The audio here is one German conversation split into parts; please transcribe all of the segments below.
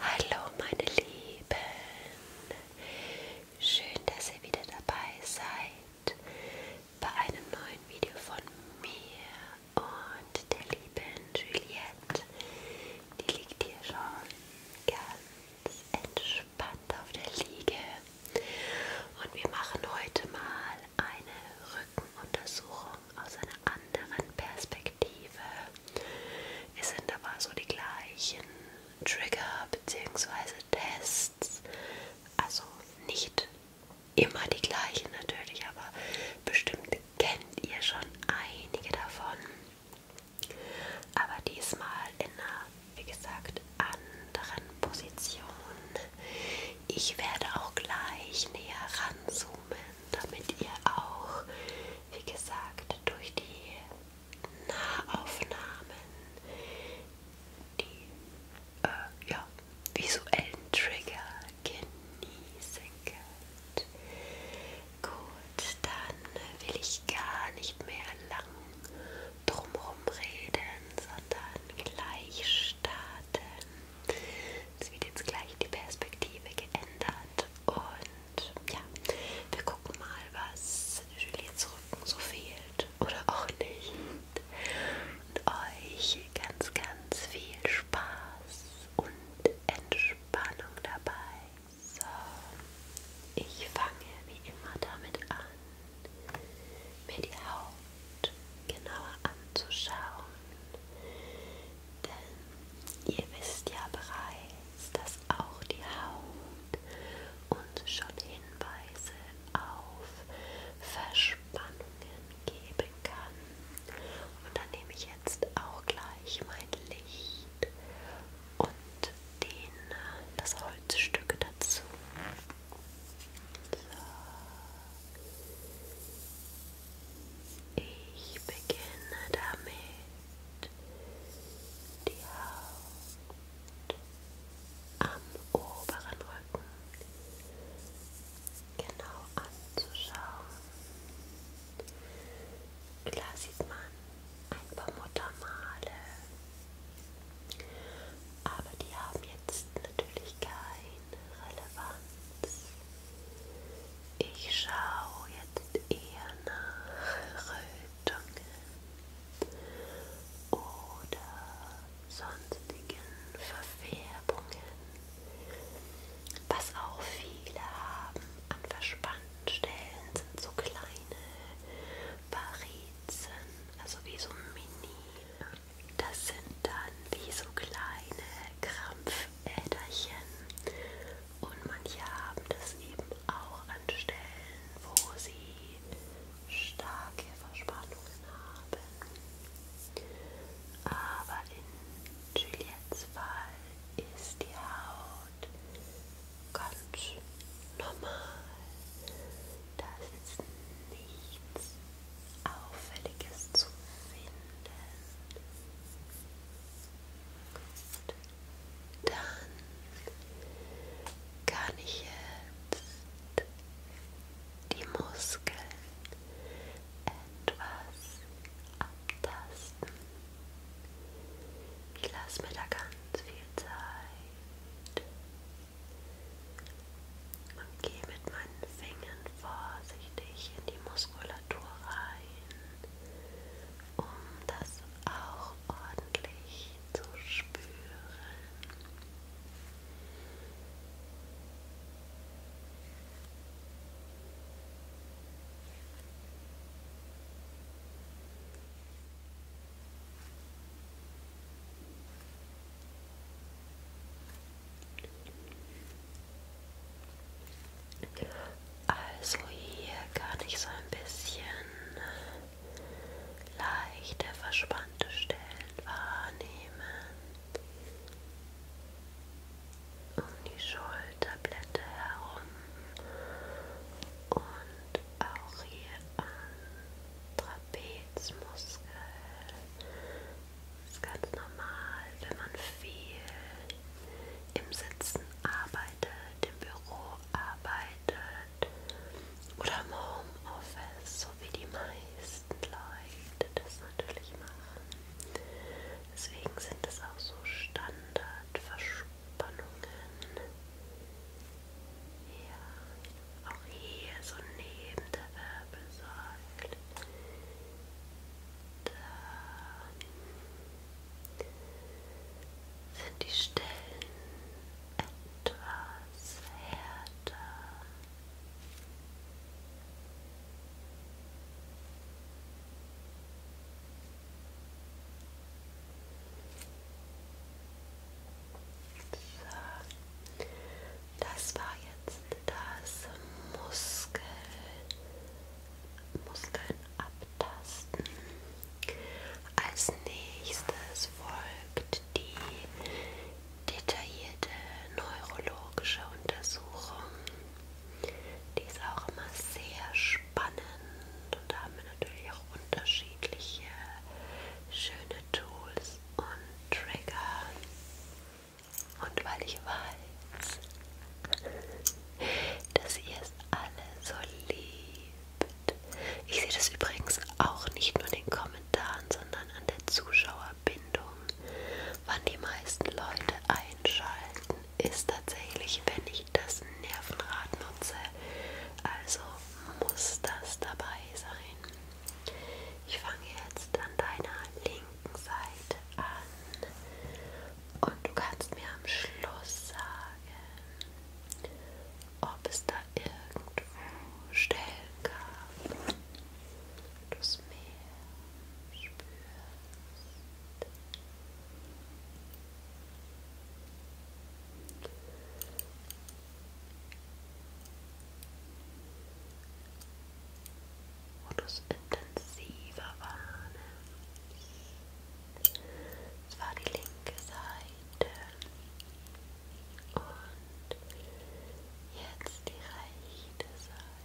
Hallo meine Lieben, schön, dass ihr wieder dabei seid bei einem neuen Video von mir und der lieben Juliette. Die liegt hier schon ganz entspannt auf der Liege und wir machen heute mal eine Rückenuntersuchung aus einer anderen Perspektive. Perspektive. Es sind aber so die gleichen Trigger bzw. Tests. Also nicht immer die gleichen natürlich, aber bestimmt kennt ihr schon einige davon. Aber diesmal in einer, wie gesagt, anderen Position. Ich werde auch gleich näher ranzoomen damit ihr auch, wie gesagt, durch die Nahaufnahmen, die äh, ja, visuellen Trigger genießen könnt. Gut, dann will ich gar nicht mehr lang drumherum reden, sondern gleich starten. Es wird jetzt gleich die Perspektive geändert und ja, wir gucken mal, was Juliets Rücken so fehlt oder auch nicht. Und euch ganz, ganz viel Spaß und Entspannung dabei. So, ich fange wie immer damit an, mir die Haut genauer anzuschauen. Denn ihr wisst ja bereits, dass auch die Haut uns schon Hinweise auf Verspannungen geben kann. Und dann nehme ich jetzt auch gleich mein Licht und den, das Holzstück dazu. So. Ich beginne damit, die Haut am oberen Rücken genau anzuschauen. Klar sieht man ein paar Muttermale, aber die haben jetzt natürlich kein Relevanz. Ich schaue jetzt eher nach Rötungen oder sonstigen Verfärbungen, was auch viele haben an verspannten Stellen sind so kleine Varizen, also wie so Mini. Das sind dann wie so kleine Krampf Äderchen und manche haben das eben auch an Stellen, wo sie starke Verspannungen haben. Aber in Juliettes Fall ist die Haut ganz normal. Da ist nichts Auffälliges zu finden. Gut. Dann kann ich jetzt die Muskeln etwas abtasten. Ich lasse mir da ganz viel Zeit. Und gehe mit meinen Fingern vorsichtig in die Muskulatur rein, um das auch ordentlich zu spüren. Also hier kann ich so ein bisschen äh, leichte, verspannte Stellen wahrnehmen. Um die Schulterblätter herum und auch hier am Trapezmuskel das ist ganz normal, wenn man viel im Sitzen arbeitet, im Büro arbeitet oder im Homeoffice, so wie die meisten Leute das natürlich machen. Deswegen sind es auch so Standardverspannungen. Ja, auch hier so neben der Wirbelsäule. Dann sind die Stellen etwas härter. So. Das war jetzt das Muskel, Muskeln abtasten. Als nächstes folgt die detaillierte neurologische Untersuchung. Die ist auch immer sehr spannend und da haben wir natürlich auch unterschiedliche schöne Tools und Trigger und weil ich weiß, dass ihr es alle so liebt. Ich sehe das übrigens auch nicht nur in den Kommentaren, sondern an der Zuschauerbindung. Wann die meisten Leute einschalten, ist tatsächlich, wenn ich das Nervenrad nutze. Also muss das dabei sein. Ich fange jetzt an deiner linken Seite an und du kannst mir am Schluss sagen, ob es da irgendwo Stellen gab, wo du's mehr spürst. Modus intensiver Warnen. Das war die linke Seite. Und jetzt die rechte Seite.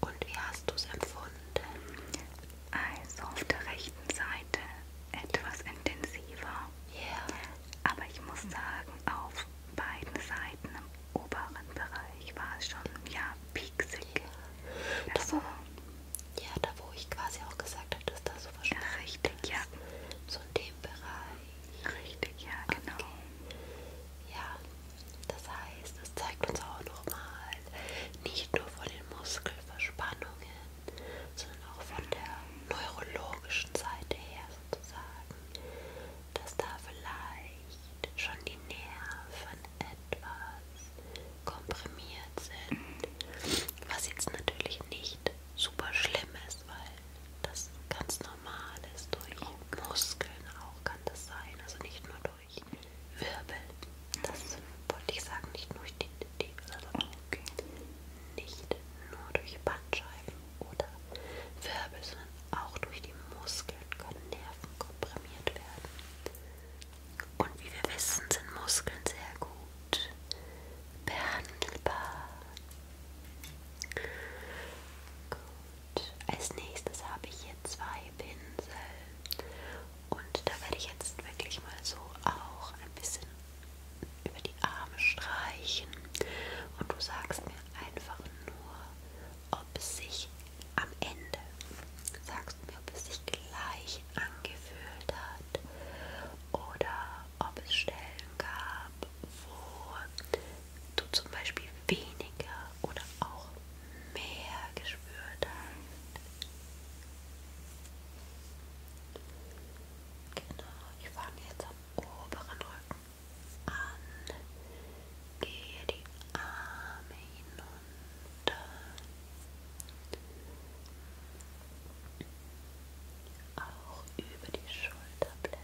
Und wie hast du es empfunden? Also auf der rechten Seite etwas intensiver. Yeah. Aber ich muss sagen, auf beiden Seiten im oberen Bereich war es schon ja pieksig. Yeah. Das da also wo, ja, da wo ich quasi auch gesagt habe, dass da so wahrscheinlich richtig, ist. ja. So ein dem Bereich. Richtig, ja, genau. Okay. Ja, das heißt, es zeigt uns auch nochmal nicht nur von den Muskelverspannungen, sondern auch von der neurologischen Seite her sozusagen, dass da vielleicht schon die Nerven etwas komprimiert sind, was jetzt natürlich nicht super schlimm ist, weil das ganz normal ist, durch okay. Oh Muskeln auch kann das sein, also nicht nur durch Wirbel. Das wollte ich sagen, nicht nur durch die, die oh, okay. nicht nur durch Bandscheiben oder Wirbel, sondern auch durch die Muskeln können Nerven komprimiert werden. Und wie wir wissen, sind Muskeln sehr gut behandelbar. Gut, als nächstes habe ich hier zwei Pinsel und da werde ich jetzt wirklich mal so auch ein bisschen über die Arme streichen und du sagst mir einfach nur, ob es sich am Ende, sagst mir, ob es sich gleich angefühlt hat oder ob es Stellen gab, wo du zum Beispiel weniger oder auch mehr gespürt hast. Genau, ich fange jetzt am oberen Rücken an. Gehe die Arme hinunter auch über die Schulterblätter.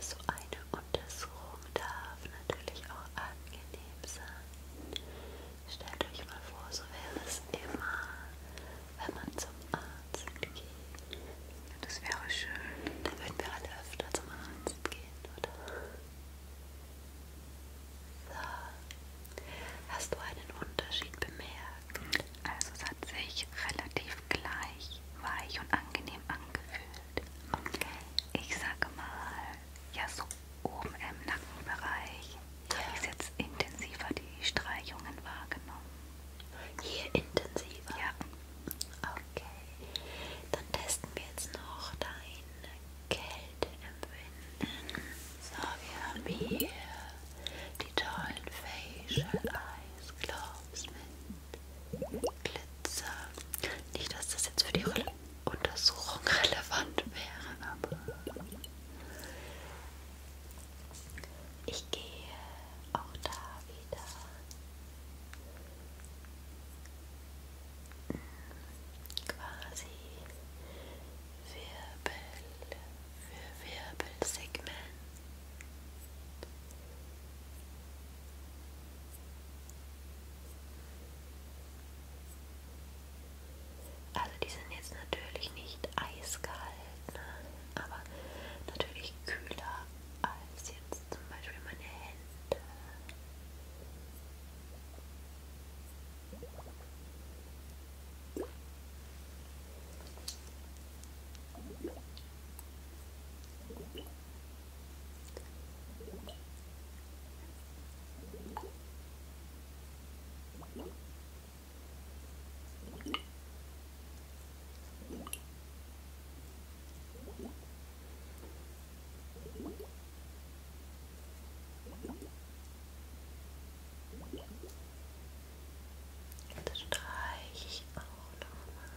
So eine Untersuchung darf natürlich auch angenehm sein. Stellt euch mal vor, so wäre es immer, wenn man zum Arzt geht. Das wäre schön. Dann würden wir alle öfter zum Arzt gehen, oder? So. Hast du einen Unterschied bemerkt? Also es hat sich relativ gleich weich und angenehm angefühlt. Ich sage mal, ja so oben im Nackenbereich ja. habe ich jetzt intensiver die Streichungen wahrgenommen. Hier intensiver? Ja. Okay. Dann testen wir jetzt noch dein Kälteempfinden. So, wir haben hier die tollen Facial Eyes Gloves mit Glitzer. Nicht, dass das jetzt für die Re Untersuchung relevant wäre, aber ich gehe auch da wieder. Quasi Wirbel für Wirbelsegment. Also die sind jetzt natürlich nicht eiskalt, ne? aber natürlich kühler als jetzt zum Beispiel meine Hände. Das streiche ich auch nochmal.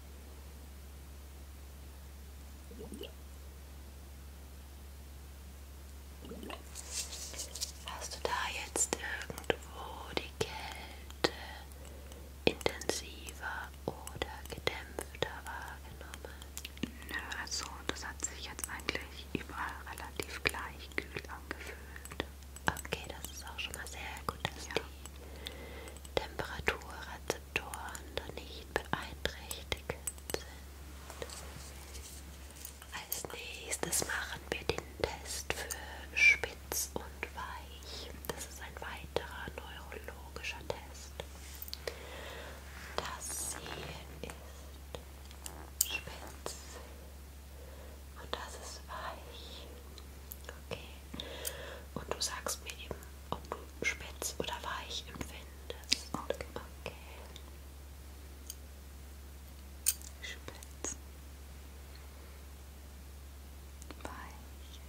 Hast du da jetzt irgendwo die Kälte intensiver oder gedämpfter wahrgenommen? Nö, also das hat sich jetzt eigentlich überall relativ gleich kühl angefühlt. Okay, das ist auch schon mal sehr gut, dass ja. die Temperaturrezeptoren da nicht beeinträchtigt sind. Als nächstes machen wir den Test für spitz und weich. Das ist ein weiterer neurologischer Test. Das hier ist spitz und das ist weich. Okay. Und du sagst mir eben, ob du spitz oder weich empfindest. Okay. okay. Spitz. Weich.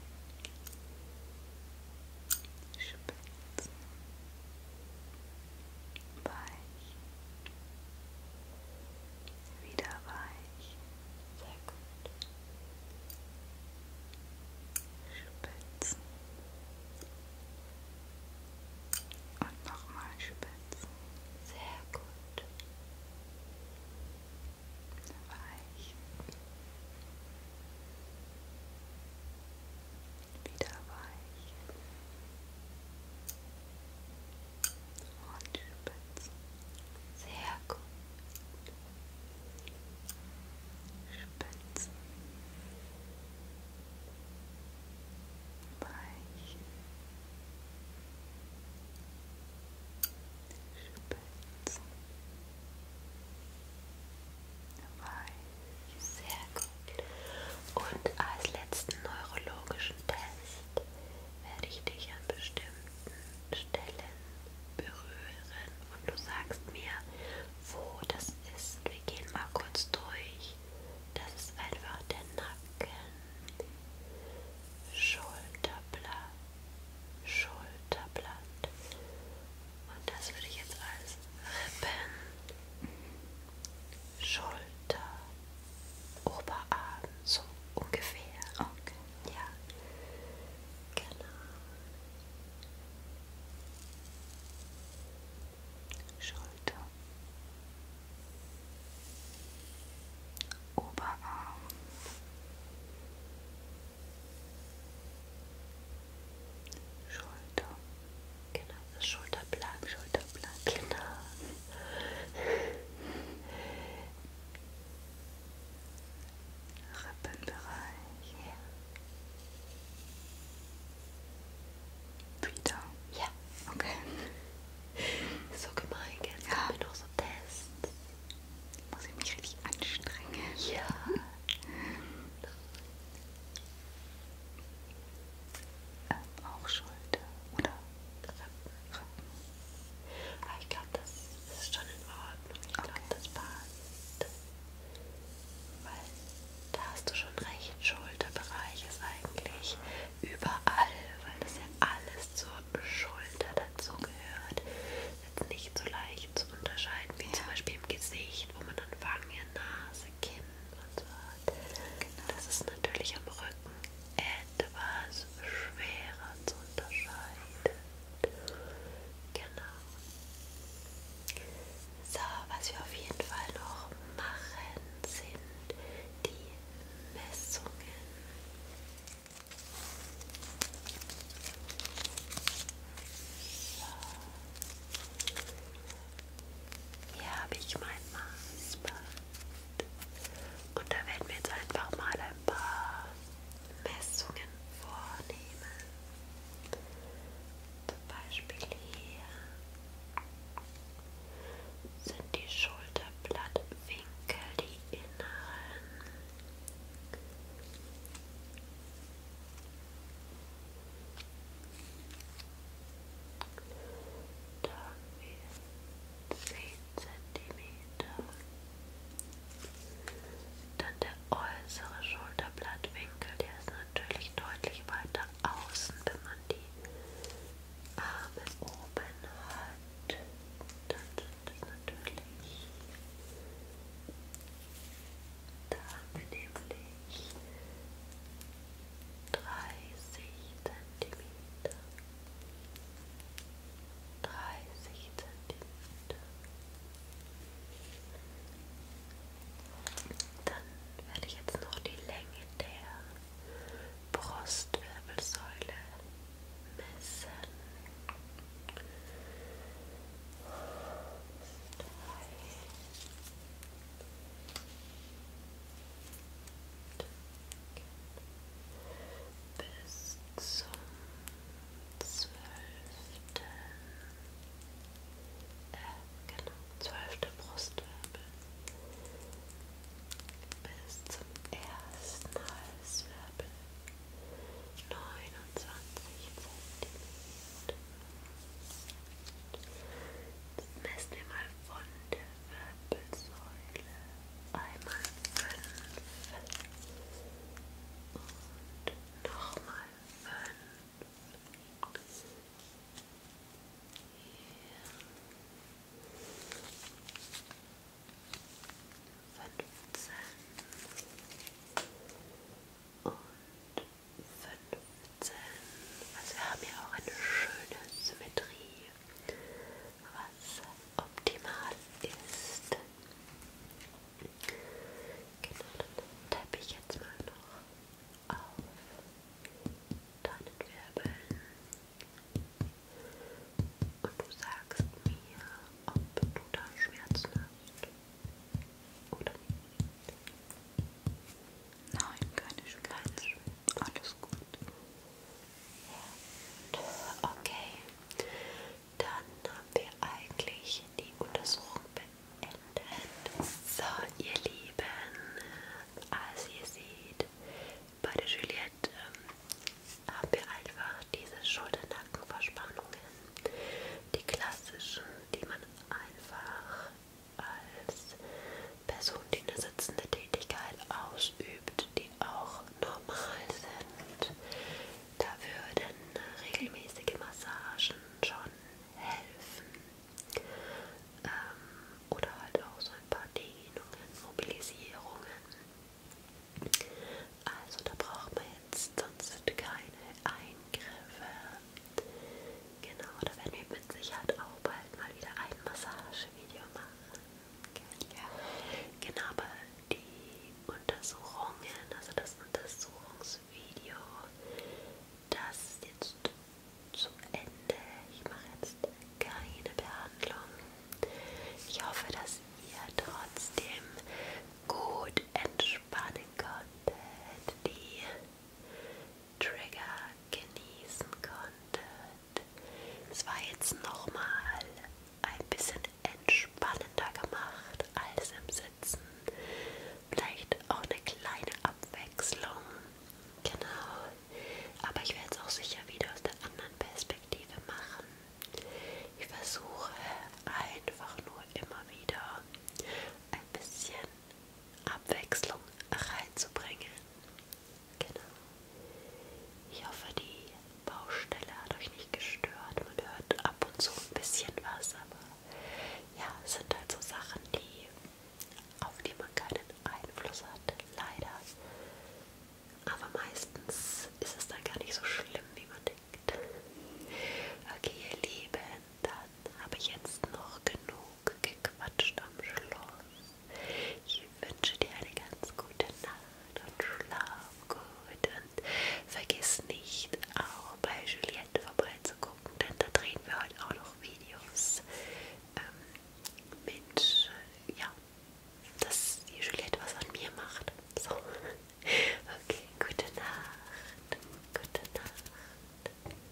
Spitz. Weich wieder weich. Sehr gut. Spitzen. Und nochmal spitzen. Sehr gut. Weich. Wieder weich und spitz. Sehr gut. Spitz. Weich. Spitz. Weich. Sehr gut. Und als letzten neurologischen Test werde ich dich an bestimmten Stellen berühren und du sagst mir, wo das ist. Wir gehen mal kurz durch. Das ist einfach der Nacken, Schulterblatt, Schulterblatt. Und das würde ich jetzt als Rippen, Schulter, Oberarm, so ungefähr. Okay. Ja, genau. Schulter. Oberarm. Schulter. Genau, das Schulterblatt, Schulterblatt. Genau. Rippenbereich. Ja. Wieder. Ja. Okay. So gemein, gell? Jetzt ja. wir noch so Tests. Muss ich mich richtig anstrengen. Ja. ähm, auch Schulter, oder? Rippen. Aber ah, ich glaube, das ist schon in Ordnung. Ich glaube, okay. das passt. Weil da hast du schon recht, Schulterbereich ist eigentlich überall, weil das ja alles zur Schulter dazu gehört. Jetzt nicht so leicht zu unterscheiden wie ja. zum Beispiel im Gesicht, wo man dann Wangen, Nase, Kinn und so hat. Genau. Das ist natürlich am Rücken etwas schwerer zu unterscheiden. Genau. So, was wir auf jeden Fall noch machen, sind die Messungen. So. Hier habe ich mein Maßband. Und da werden wir jetzt einfach mal ein paar Messungen vornehmen. Zum Beispiel hier sind die Schulterblattwinkel, die inneren. Da haben wir 10 cm. Dann der äußere Schulterblattwinkel, der ist natürlich deutlich weiter außen, wenn man die Arme oben hat. Dann sind es natürlich. Da haben wir nämlich 30 cm. 30 Zentimeter. Dann werde ich jetzt noch die Länge der Brustwirbelsäule messen. 3 4 bis zum zwölften, äh, genau, zwölfte Brustwirbel, bis zum ersten Halswirbel, 29 cm. Jetzt messen wir mal von der Wirbelsäule einmal fünf und nochmal fünf. Hier. Fünfzehn. Und 15. Also wir haben ja auch eine schöne Symmetrie was optimal ist. Genau, dann tappe ich jetzt mal noch auf deinen Wirbeln und du sagst mir, ob du da Schmerzen hast oder nicht. Nein, keine Schmerzen. Alles gut. Ja. Okay. Dann haben wir eigentlich die Untersuchung beendet. So, ihr Lieben, als ihr seht, bei der Juliette ähm, haben wir einfach diese Schulternackenverspannungen, die klassischen, die man einfach als Person, die eine sitzende Tätigkeit ausübt, die auch normal sind. Da würden regelmäßige Massagen schon helfen. Ähm, oder halt auch so ein paar Dehnungen, Mobilisierungen. Also da braucht man jetzt sonst keine Eingriffe. Genau, da werden wir mit Sicherheit auch bald mal wieder ein Massagevideo machen. Okay. Ja. Genau, aber die Untersuchungen, also das Untersuchungsvideo, das ist jetzt zu Ende. Ich mache jetzt keine Behandlung. Ich hoffe, dass ihr trotzdem gut entspannen konntet. Die Trigger genießen konntet. Es war jetzt nochmal ein bisschen entspannender gemacht als im Sitzen. Vielleicht auch eine kleine Abwechslung. Genau. Aber ich werde es auch sicher wieder aus der anderen Perspektive machen. Ich versuche einfach nur immer wieder ein bisschen Abwechslung reinzubringen. Genau. Ich hoffe, die Baustelle hat euch nicht gestört. Man hört ab und zu ein bisschen was, aber ja, es sind halt so Sachen, die, auf die man keinen Einfluss hat, leider. Aber meistens ist es dann gar nicht so schlimm, wie man denkt. Okay, ihr Lieben, dann habe ich jetzt noch genug gequatscht am Schluss. Ich wünsche dir eine ganz gute Nacht und schlaf gut. Und vergiss nicht, auch bei Juliette vorbeizugucken, denn da drehen wir heute auch noch Videos ähm, mit, ja, dass die Juliette was an mir macht. So. Okay, gute Nacht. Gute Nacht.